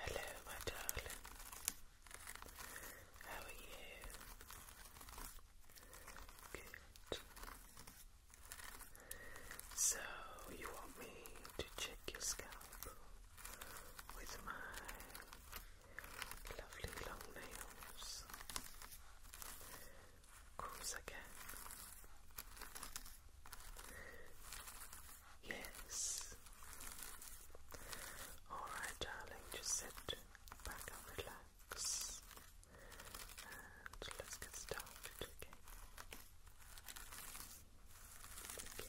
Hello, my darling. How are you? Good. So, you want me to check your scalp with my lovely long nails? course I can. Yes. Alright, darling, just sit back and relax. And let's get started, okay? Okay.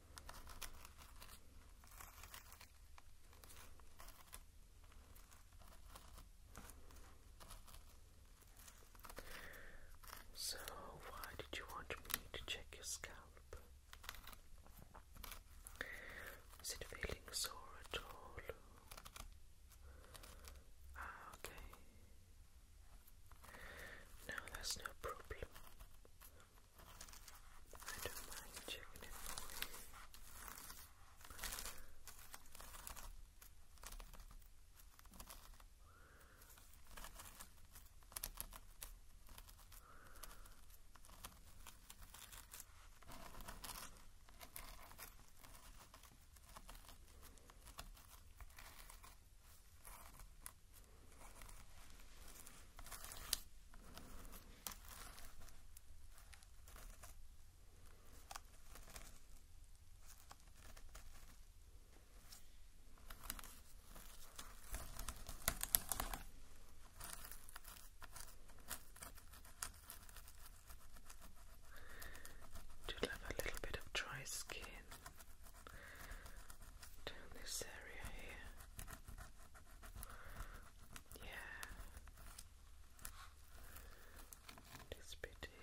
So, why did you want me to check your scalp? Is it feeling sore at all? Ah, okay. No, that's no problem. I don't mind checking it for you. Good. To have a little bit of dry skin down this area here. Yeah. This bit here.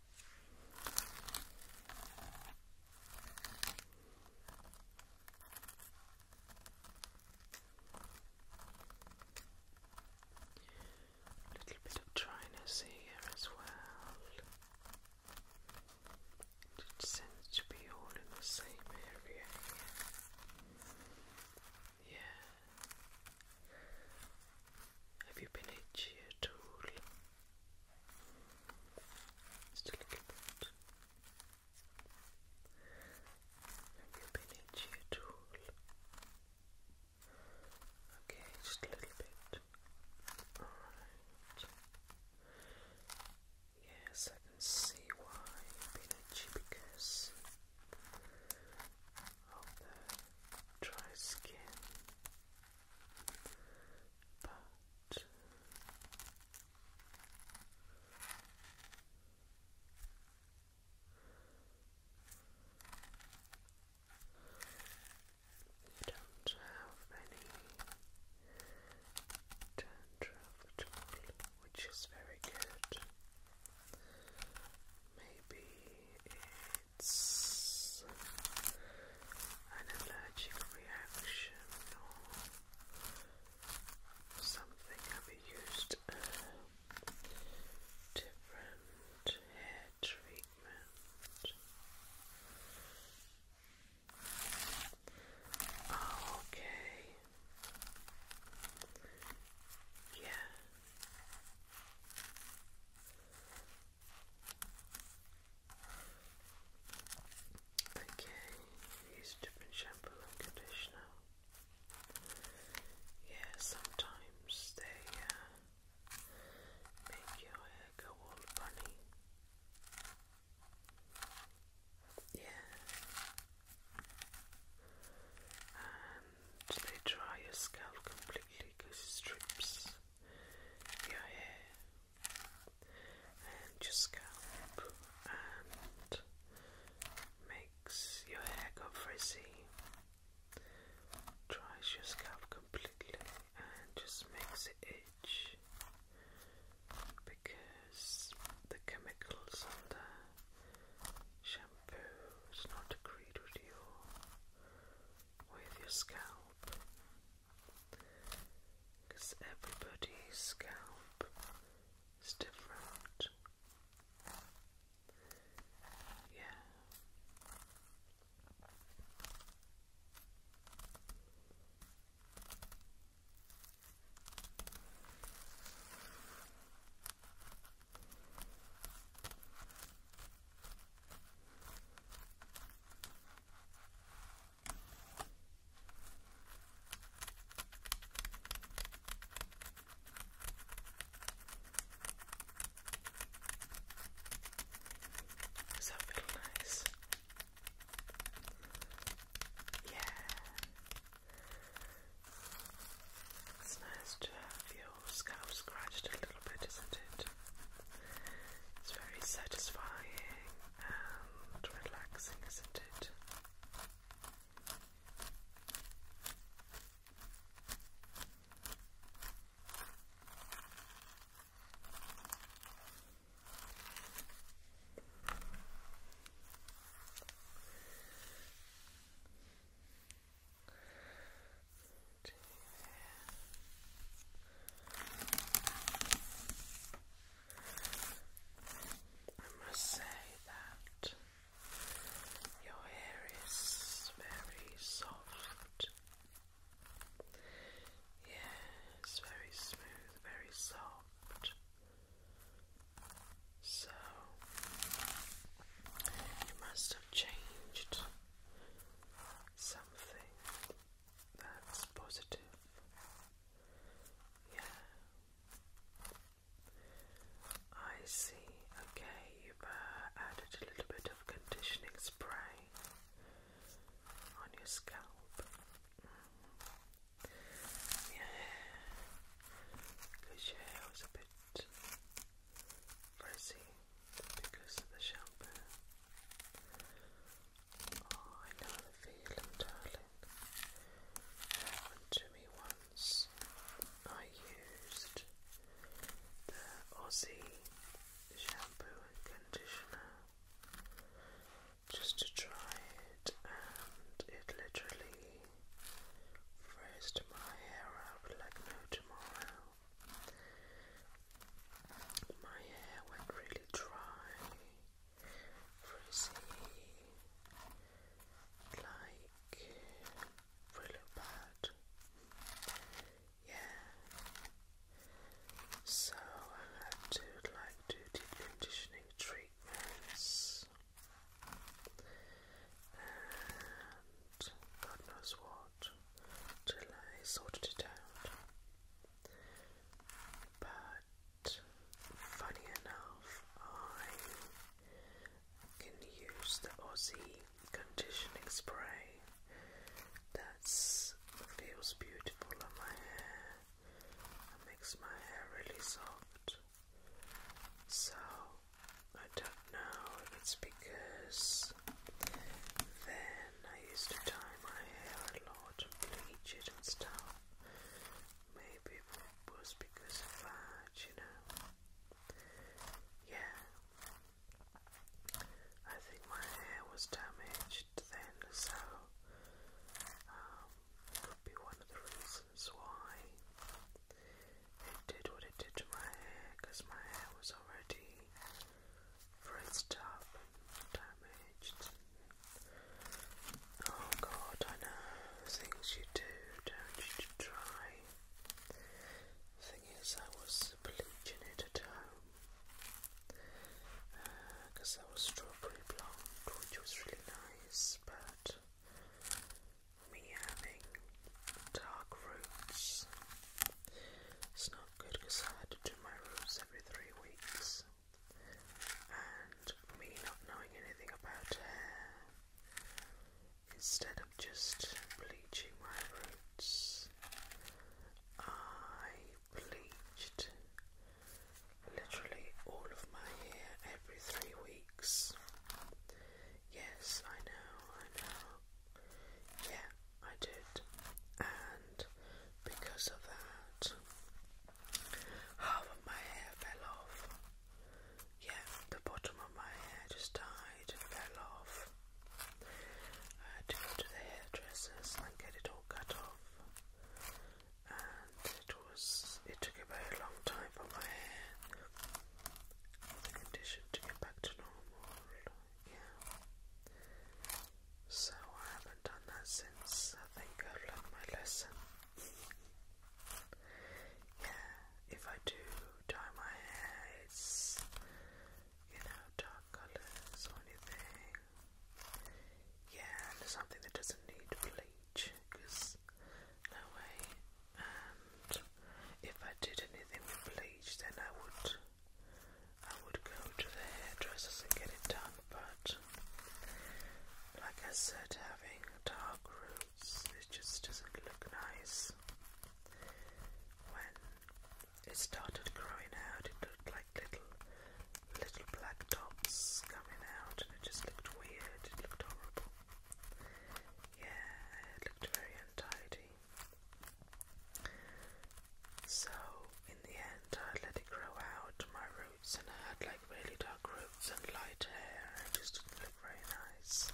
A little bit of dryness here as well. It seems to be all in the same area here. Yeah. Have you been itchy at all? Just a little bit. Have you been itchy at all? Okay, just a little bit. Alright. Yes, I can see why you've been itchy because on the dry skin, but you don't have any dandruff at which is very good. Maybe it's an allergic reaction or something. Have you used different hair treatment? Oh, okay. Yeah. Okay, use different shampoo and conditioner. Yeah, sometimes they uh, make your hair go all funny. Yeah they dry your scalp completely because it strips your hair and your scalp and makes your hair go frizzy, dries your scalp completely and just makes it itch because the chemicals on the shampoo is not agreed with your with your scalp because everybody's scalp is different. Yeah. Does that nice? Yeah. It's nice to have your scalp scratched a little bit, isn't it? It's very satisfying and relaxing, isn't it? Two I must say that your hair is very soft. Yes, very smooth, very soft. So you must have changed something that's positive. Yeah. I see. Okay, you've uh, added a little bit of conditioning spray on your scalp. Mm-hmm. Yeah, because your hair was a bit frizzy because of the shampoo. Oh, I know the feeling, happened to me once. I used the Aussie shampoo and conditioner just to try it, and it literally. Frizzed my hair up like no tomorrow. My hair went really dry, frizzy, like really bad. Yeah. So I had to like do deep conditioning treatments. And God knows what till I sorted it out. But funny enough, I can use the Aussie conditioning spray that feels beautiful on my hair makes my hair really soft. So I don't know it's because they I used to dye my hair a lot and bleach it and stuff. Maybe it was because of that, you know. Yeah. I think my hair was damaged then, so um, could be one of the reasons why it did what it did to my hair because my hair was already Fruits top damaged. Oh god, I know things you do, don't you try. Thing is, I was bleaching it at home because uh, I was strawberry blonde, which was really nice, but me having dark roots. It's not good because I had to do my roots every three weeks, and me not knowing anything about hair, instead of just bleaching my roots, I bleached literally all of my hair every three weeks. Yes, I know, I know. Yeah, I did. And because of that, half of my hair fell off. Yeah, the bottom of my hair just died and fell off. I had to go to the hairdressers and get it all cut off. And it was, it took a very long time for my hair, condition to get back to normal yeah. So I haven't done that since I think I've learned my lesson. yeah, if I do dye my hair, it's you know dark colours or anything. Yeah, and something that doesn't need bleach, because no way. And if I did anything with bleach, then I would I would go to the hairdressers and get it done, but like I said, having dark roots, it just doesn't look nice. When it started growing out, it looked like little, little black dots coming out, and it just looked weird. It looked horrible. Yeah, it looked very untidy. So, in the end, I let it grow out my roots, and I had like really dark roots and light hair, and it just didn't look very nice.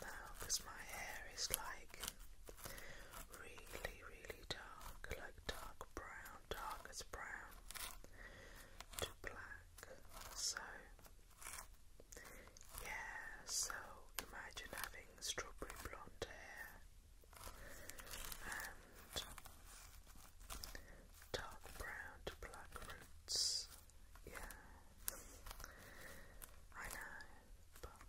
Now, because my hair is like really, really dark, like dark brown, dark as brown to black. So, yeah, so imagine having strawberry blonde hair and dark brown black roots. Yeah, I know, but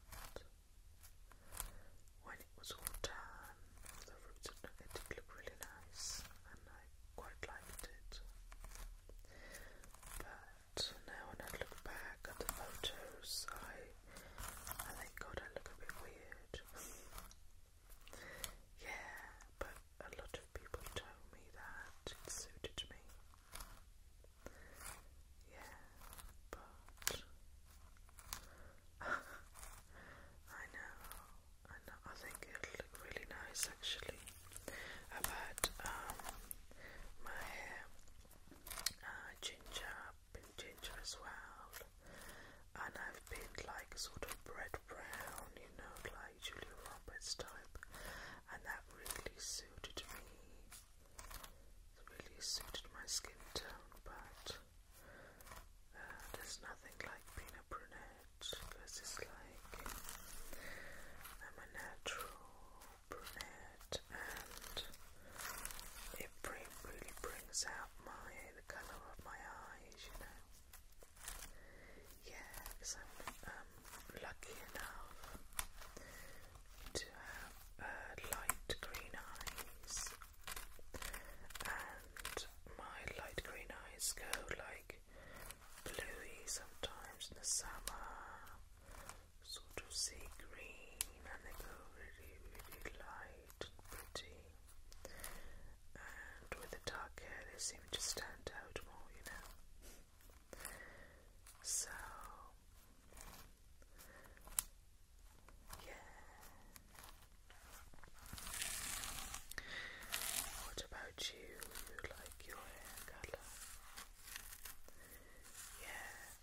when it was all done, the roots it did look really nice and I quite liked it. But now when I look back at the photos, I, I think God I look a bit weird. yeah, but a lot of people told me that it suited me. Yeah, but I know, I know. I think it'll look really nice actually. i um, my uh, ginger been ginger as well. And I've been like sort of bread brown, you know, like Julia Roberts type. And that really suited me. really suited my skin tone, but uh, there's nothing like being a brunette because it's like I'm a natural brunette and it really brings out my the colour of my eyes, you know. Yeah, because I'm um, lucky enough to have uh, light green eyes and my light green eyes go like bluey sometimes in the summer so to see green and they go really, really light and pretty. And with the dark hair, they seem to stand out more, you know. So, yeah. What about you? You like your hair color? Yeah,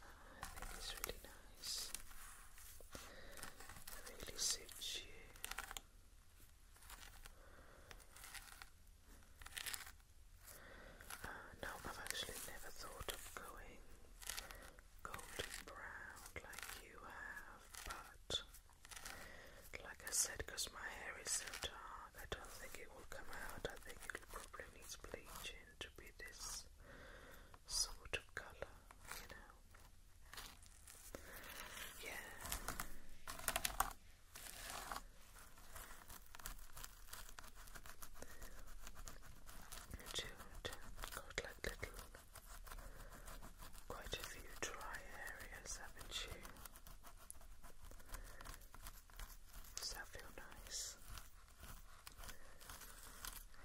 I think it's really nice. It really suits you. Uh, no, I've actually never thought of going golden brown like you have, but like I said, because my hair is so dark, I don't think it will come out. I think it will probably need bleaching to be this sort of colour, you know. Yeah. Jute got like little, quite a few dry areas, haven't you? Does that feel nice?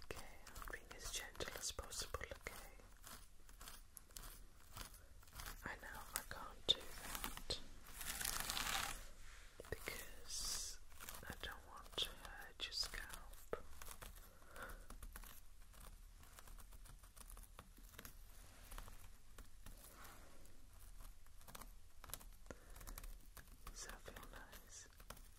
Okay, I'm being as gentle as possible, okay? I know I can't do that because I don't want to hurt your scalp. Does that feel nice?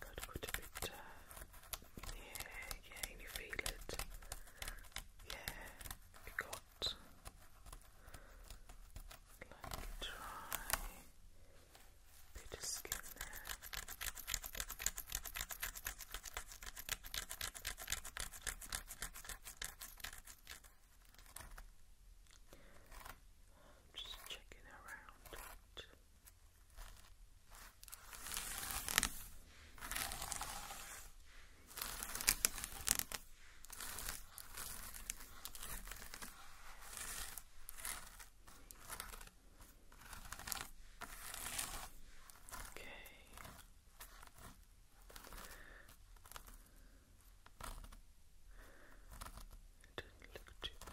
Good, good bit. Uh, yeah, yeah, and you feel it. Yeah, you got like dry, bit skin just checking around it. Okay. It didn't look too bad.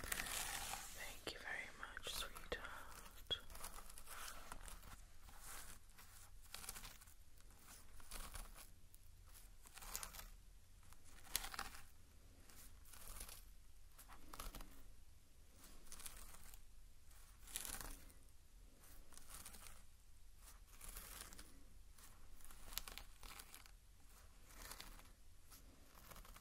Thank you very much, sweetheart.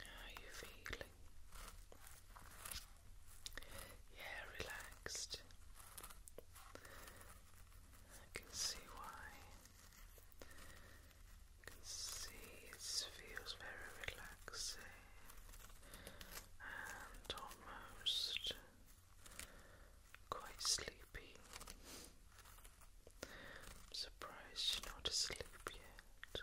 How you feeling? Yeah, relaxed. I can see why can see it feels very relaxing and almost quite sleepy. surprised you're not asleep yet.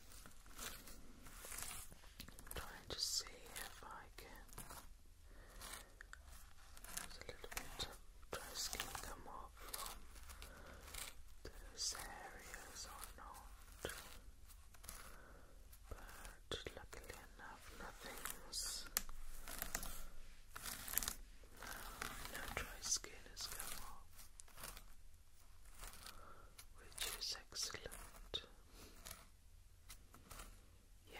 I'm trying to see if I can a little bit of dry skin come off from those areas or not. But luckily enough nothing's no, dry skin has come off which is excellent. Yeah.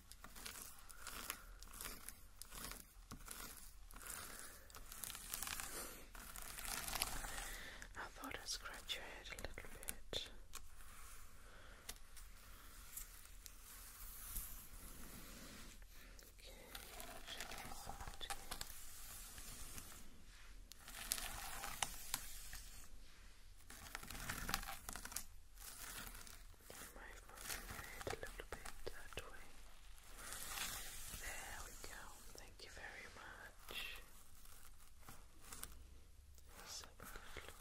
I thought I'd scratch your head a little bit. Okay, move my head a little bit that way. There we go. Thank you very much. So good looking.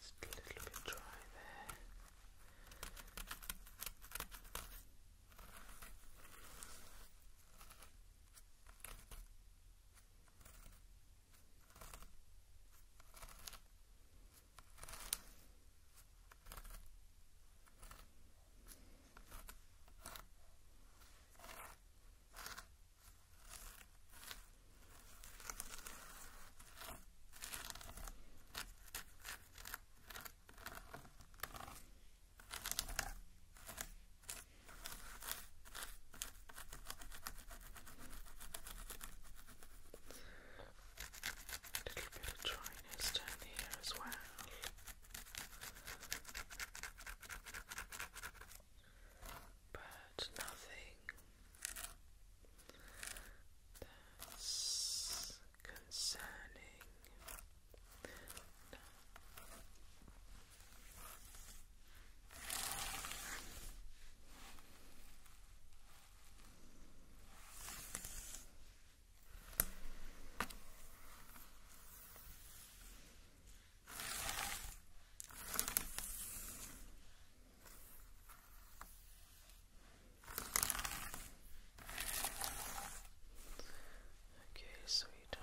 Just a little bit dry there. A little bit of dryness down here as well but nothing that's concerning. Okay, sweetheart.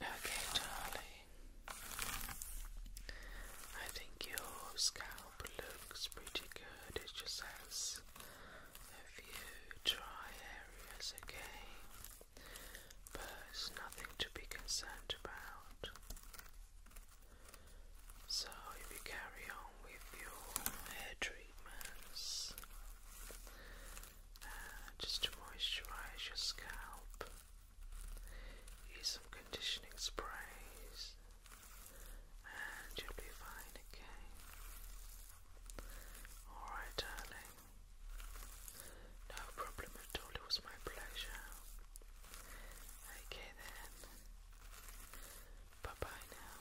Okay, darling. I think your scalp looks pretty good. It just has a few dry areas, okay? But nothing to be concerned about. So, if you carry on with your hair treatments, just to moisturize your scalp. Use some conditioning sprays, and you'll be fine again. Alright, darling. No problem at all, it was my pleasure. Okay then. Bye bye now.